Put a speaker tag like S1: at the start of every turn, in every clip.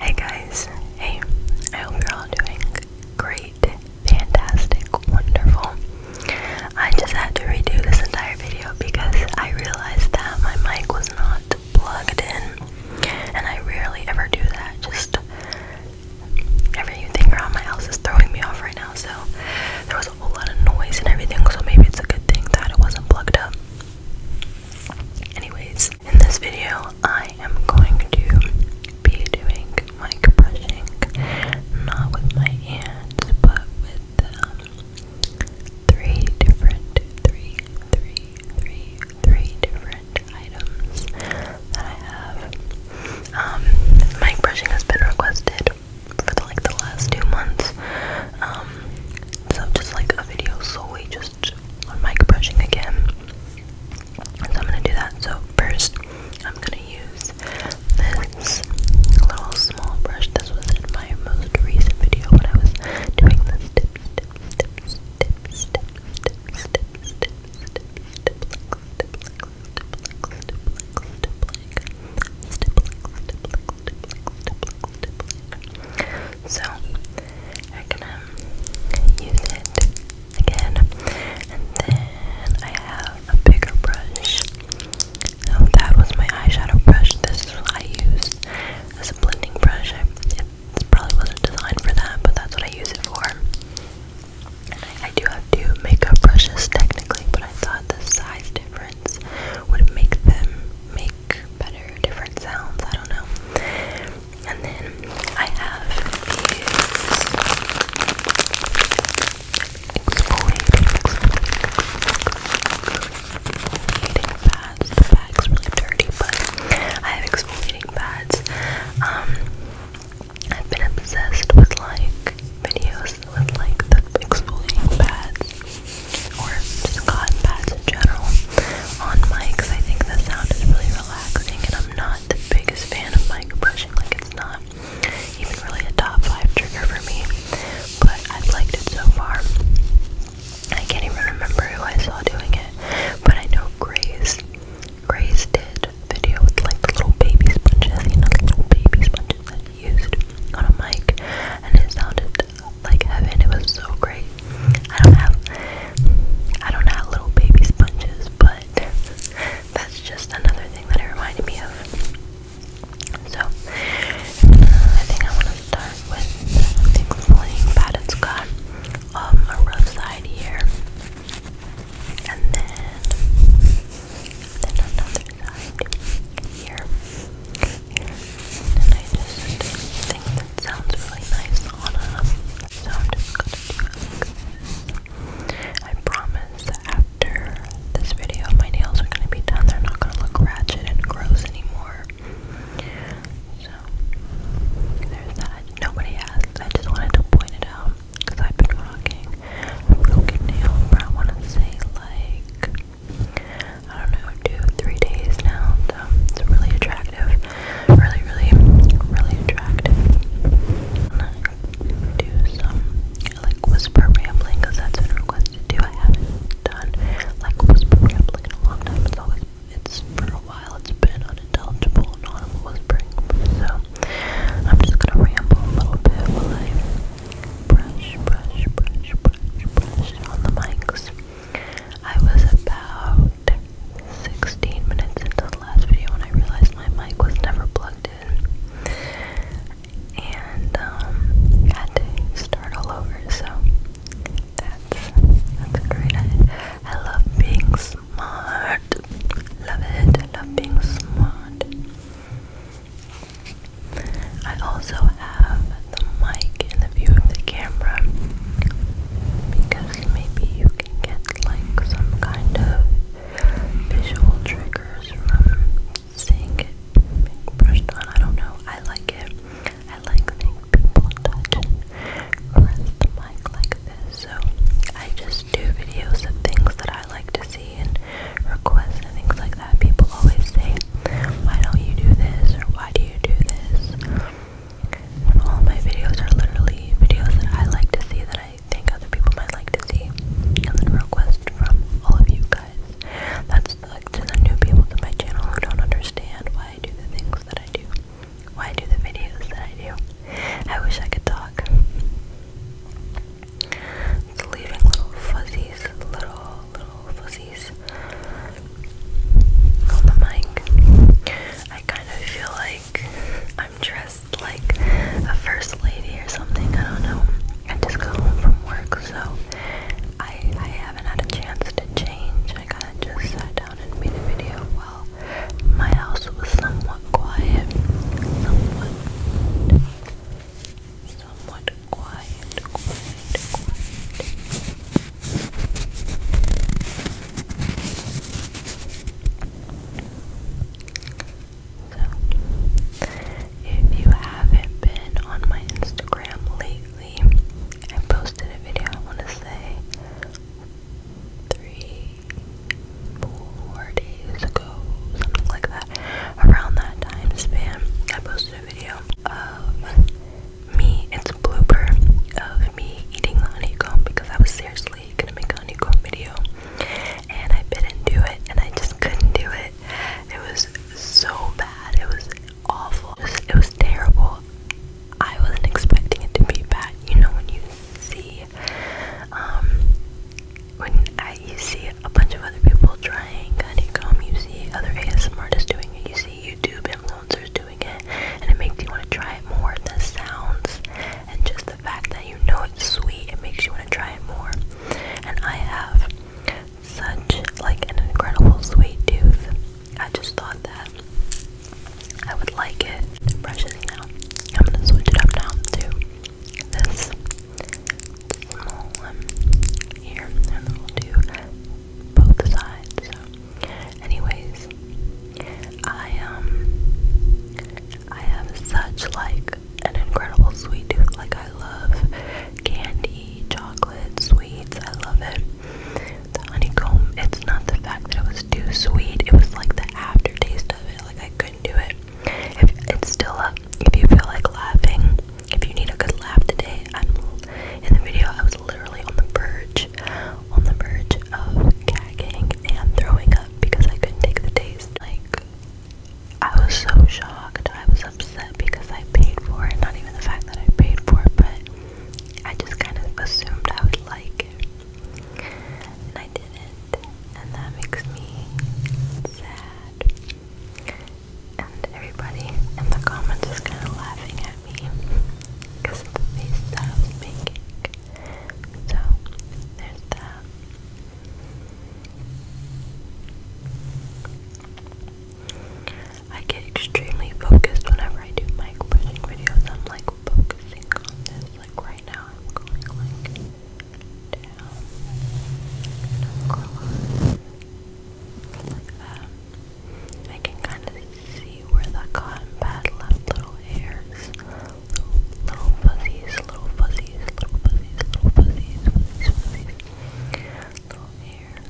S1: Hey guys, hey, I hope you're all doing great, fantastic, wonderful. I just had to redo this entire video because I realized that my mic was not plugged in, and I rarely ever do that. Just everything around my house is throwing me off right now, so there was a whole lot of noise and everything, so maybe it's a good thing that it wasn't plugged up. Anyways, in this video, I am going to be doing mic brushing, not with my hands, but with um, three different, three, three, three, three different items that I have. Um, mic brushing has been requested for like the last two months. Um, so just like a video solely just much on mic again. So I'm going to do that. So first, I'm going to use this little small brush. This was in my most recent video when I was doing this so I'm gonna use it again. And then I have a bigger brush. So that was my eyeshadow brush. This is what I use as a blending brush. it probably wasn't designed for that, but that's what I use it for. I do have two makeup brushes technically, but I thought the size difference would make them make better different sounds. I don't know. And then I have these exfoliating, pads. The bag's really dirty, but I have exfoliating pads. Um, I've been obsessed with like videos with like the exfoliating pads or Scott pads in general on mics. I think the sound is really relaxing, and I'm not the biggest fan of mic brushing. Like it's not even really a top five trigger for me, but i liked it so far. I can't even remember who I saw doing it, but I know Grace. Grace did a video with like the little baby sponges, and know, the little baby sponges that he used on a mic, and it sounded like heaven. It was so great. I don't have I don't have little baby sponges, but that's just another thing that it reminded me of. So uh, I think I want to start with explaining that it's got um, a rough side here, and then then another side here, and I just think it sounds really nice on so I'm just gonna do it I promise after this video my nails are gonna be done. They're not gonna look ratchet and gross anymore. So there's that. Nobody asked. I just wanted to point it out because I've been rocking broken nail for I wanna say like I don't know, two, three days now. So it's really attractive. Really, really, really attractive. I'm gonna do some like whisper rambling because that's been requested too. I haven't done like whisper rambling in a long time. It's always it's for a while it's been unintelligible and audible whispering. So I'm just gonna ramble a little bit while I brush, brush, brush, brush, brush on the mics. I was about 16 minutes into the last video when I realized my mic was never plugged in and um, had to start all over. So that's that's great. I, love being smart. Love it. love being smart. I also have the mic in the view of the camera because maybe you can get like some kind of visual triggers from seeing it being brushed on. I don't know. I like it. I like seeing people touch and press the mic like this. So I just do videos of things that I like to see and requests and things like that. People always say, Why don't you do this? or Why do you do this? all my videos are literally videos that I like to see that I think other people might like to see. And then request from all of you guys. That's to the new people to my channel who don't understand why I do the things that I do. Why I do the videos that I do. I wish I could talk. leaving little fuzzies, little, little fuzzy on the mic. I kind of feel like I'm dressed like a first lady or something. I don't know. I just got home from work, so I I haven't had a chance to change. I kind of just sat down and made a video while my house was somewhat quiet, somewhat. Somewhat quiet, quiet, quiet. So, if you haven't been on my Instagram lately, I posted a video, I want to say three, four days ago, something like that. Around that time span, I posted a video me, it's a blooper of me eating honeycomb because I was seriously gonna make honeycomb video and I bit into it and I just couldn't do it. It was so bad, it was awful, it was, terrible. I wasn't expecting it to be bad, you know, when you see, um, when you see a bunch of other people trying honeycomb, you see other ASMR artists doing it, you see YouTube influencers doing doing it and it makes you want to try it more. The sounds and just the fact that you know it's sweet, it makes you want to try it more. And I have such like an incredible sweet tooth. I just thought that I would like it. The brush is now. I'm gonna switch it up now to
S2: this small one here, and then we'll do both sides. So Anyways, I um I have such like an incredible sweet tooth. Like I love candy, chocolate, sweets. I love it. The honeycomb, it's not the fact that it was too sweet,
S1: it was like the aftertaste of it. Like I couldn't do it. If it's still up, if you feel like laughing, if you need a good laugh today, I, in the video. I was literally on the verge, on the verge of gagging and throwing up because I couldn't take the taste. Like, I was so shocked. I was upset because I paid for it. Not even the fact that I paid for it, but I just kind of assumed I would like it, and I didn't. And that makes me sad. And everybody in the comments is kind of laughing at because the face that I making. So, there's that. I get extremely focused whenever I do mic brushing videos. I'm like focusing on this. Like right now, I'm going like down and I can kind of see where the cotton pad left little hairs, little, fuzzies, little fuzzies, little fuzzies, little fuzzies, little hairs.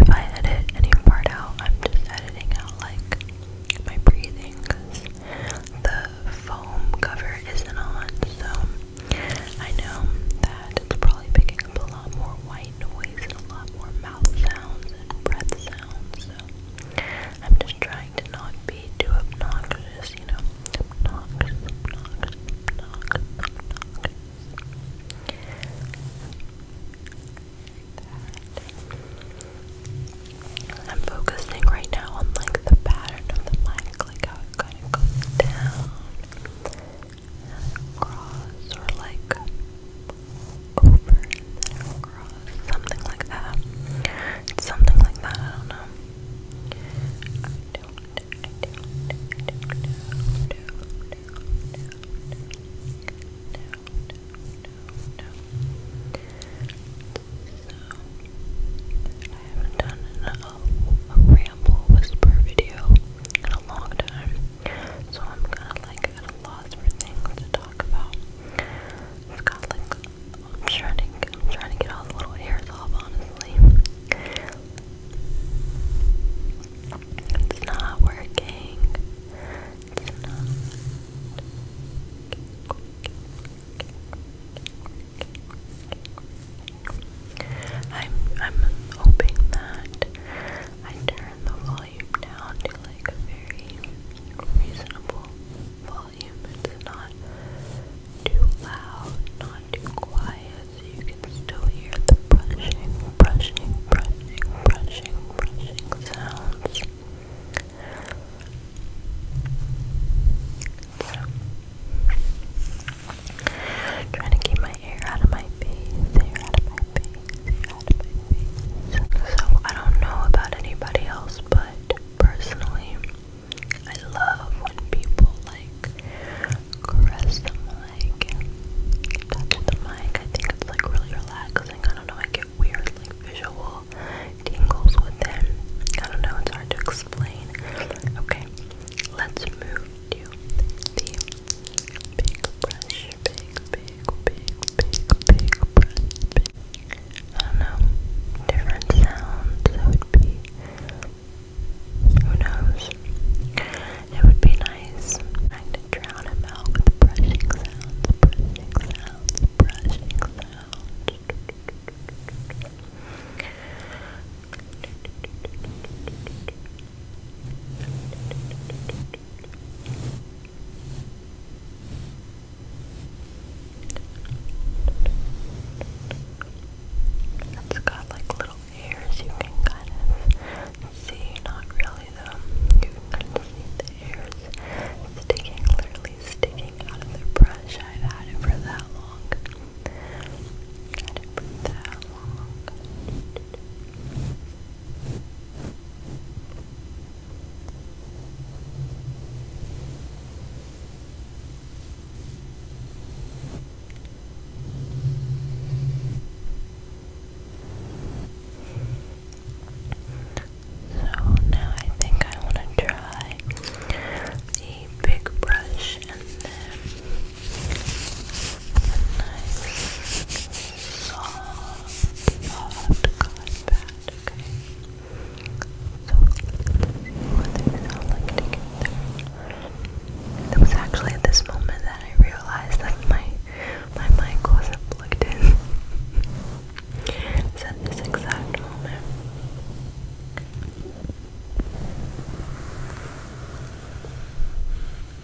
S1: If I edit any part out, I'm just editing out like my breathing because the foam cover isn't on, so I know that it's probably picking up a lot more white noise and a lot more mouth sounds and breath sounds. So I'm just trying to not be too obnoxious, you know. I'm focusing right now on like the pattern of the mind like how it kind of goes down cross or like over and cross, something like that. something like that, I don't know. I don't, I don't, I don't, I don't, I don't, I don't, no, no, no. I haven't done an, a, ramble whisper video in a long time. So I'm kind of like at for things to talk about. It's got like I'm trying to I'm trying to get all the little hairs off, honestly. It's not working. It's not. I'm I'm hoping that I turn the volume down to like a very reasonable volume. It's not too loud, not too quiet, so you can still hear the brushing, brushing, brushing, brushing, brushing sounds. Trying to keep my hair out of my face, So I don't know about anybody else, but personally, I love when people like caress the mic and touch the mic. I think it's like really relaxing. I don't know, I get weird like visual tingles with them. I don't know, it's hard to explain. Okay, let's move do the big brush, big, big, big, big, big brush, I know, different sounds, it would be, who knows, it would be nice, trying to drown him out brushing sounds, brushing sounds, brushing sounds. It's got like little hairs you can kind of see, not really though. You can see the hairs sticking, literally sticking out of the brush. I've had it for that long. So now I think I want to try the big brush and nice, soft, hot cotton pad, okay? So, let they sound like together. It was actually at this moment that I realized that my, my mic was plugged in. it's at this exact moment.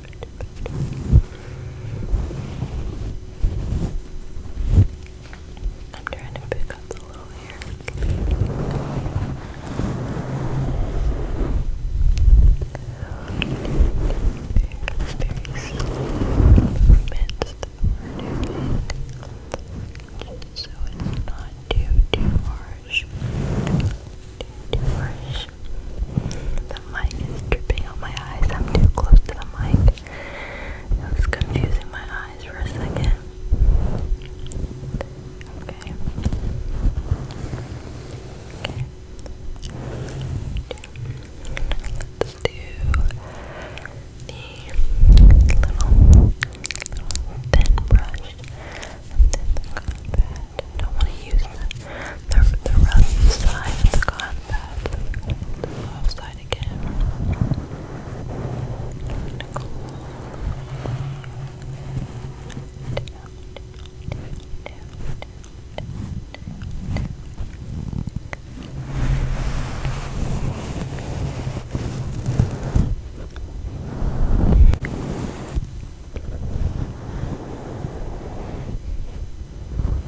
S1: I'm trying to pick up the little here. Very, very slow that are doing, so it's not too, too harsh. too harsh. The mic is dripping on my eyes. I'm too close to the mic. It was confusing my eyes for a second. Okay. Okay. Let's do the little, little thin brush don't want to use the, the right side of the combat, the left side again. I'm going down, down, down, down, down, down. Down,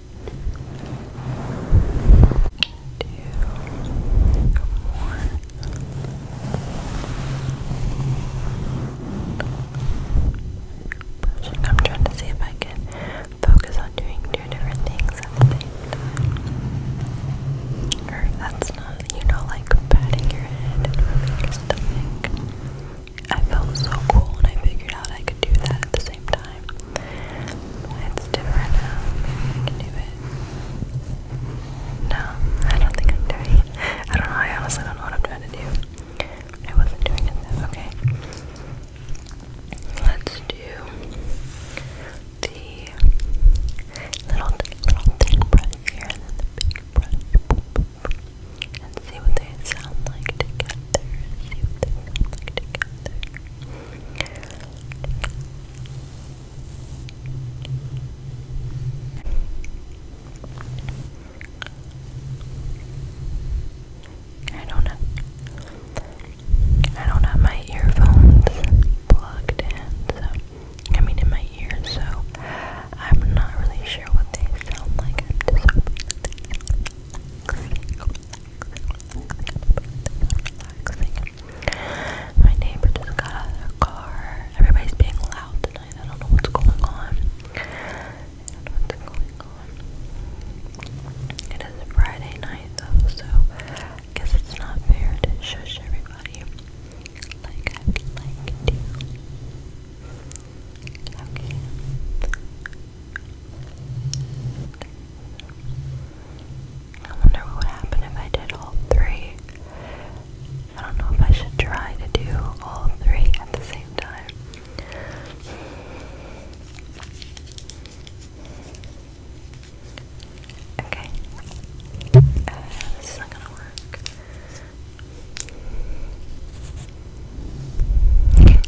S1: Pushing. I'm trying to see if I can focus on doing two different things Or that's not, you know, like patting your head and your stomach. I felt so cool and I figured out I could do that at the same time. It's different now. Um, I can do it. No, I don't think I'm doing I don't know. I honestly don't know what I'm trying to do. I wasn't doing it Okay. Let's do the little, little thin brush here and see what they sound like together. See what they sound like together. I don't have, I don't have my earphones plugged in, so I mean in my ears, so I'm not really sure what they sound like. i relaxing. My neighbor just got out of their car. Everybody's being loud tonight. I don't know what's going on. It is Friday night though, so I guess it's not fair to shush everybody like I like to. Okay. I wonder what would happen if I did all three. I don't know if I should try to do all three at the same time. Okay. this is not gonna work.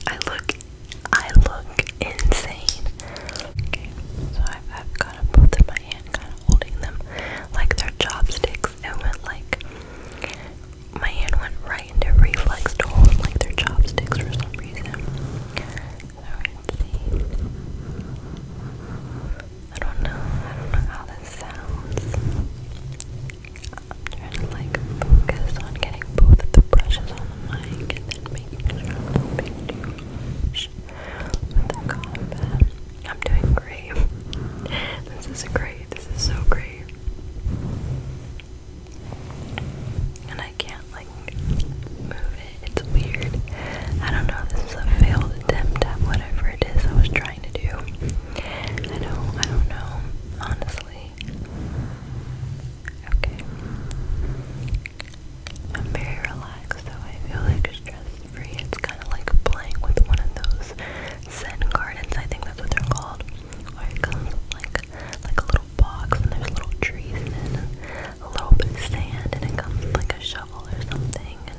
S1: I look I look insane. so I've, got them both in my hand, kind of holding them like they chopsticks. It went like my hand went right into reflex to hold like they chopsticks for some reason. So see. I don't know. I don't know how this sounds trying to like focus on getting both the brushes on the mic and then making sure I'm doing great. This is great. This is so great. And I can't like move it. It's weird. I don't know. This is a failed attempt at whatever it is I was trying to do. I do I don't know. Honestly seriously. Okay. I'm very relaxed, so I feel like stress-free. It's kind of like playing with one of those Zen gardens. I think that's what they're called. Where it comes like like a little box, and there's little trees and a little bit of sand, and it comes like a shovel or something, and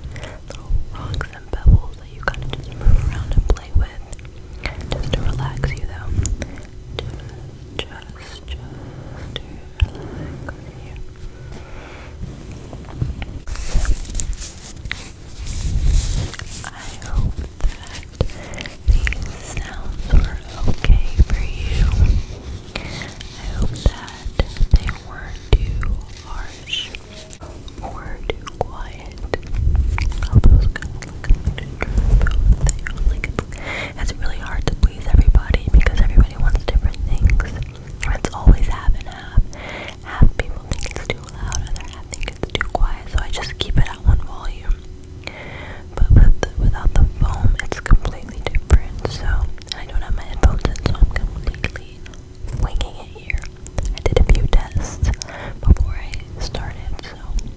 S1: little rocks and pebbles that you kind of just move around and play with. Just to relax you though. Just, just, to relax you. I hope that these sounds were okay for you. I hope that they weren't too harsh or too quiet i it's, really hard to please everybody because everybody wants different things. It's always half and half. Half people think it's too loud, other half think it's too quiet. So I just keep it at one volume. But without the foam, it's completely different. So I don't have my headphones in, so I'm completely winging it here. I did a few tests before I started, so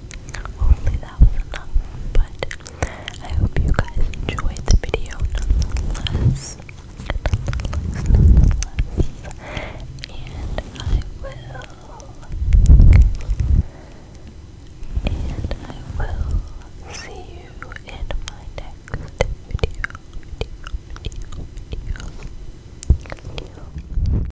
S1: Hopefully that was enough, but I hope you guys enjoyed the video nonetheless. And I will. And I will see you in my next video.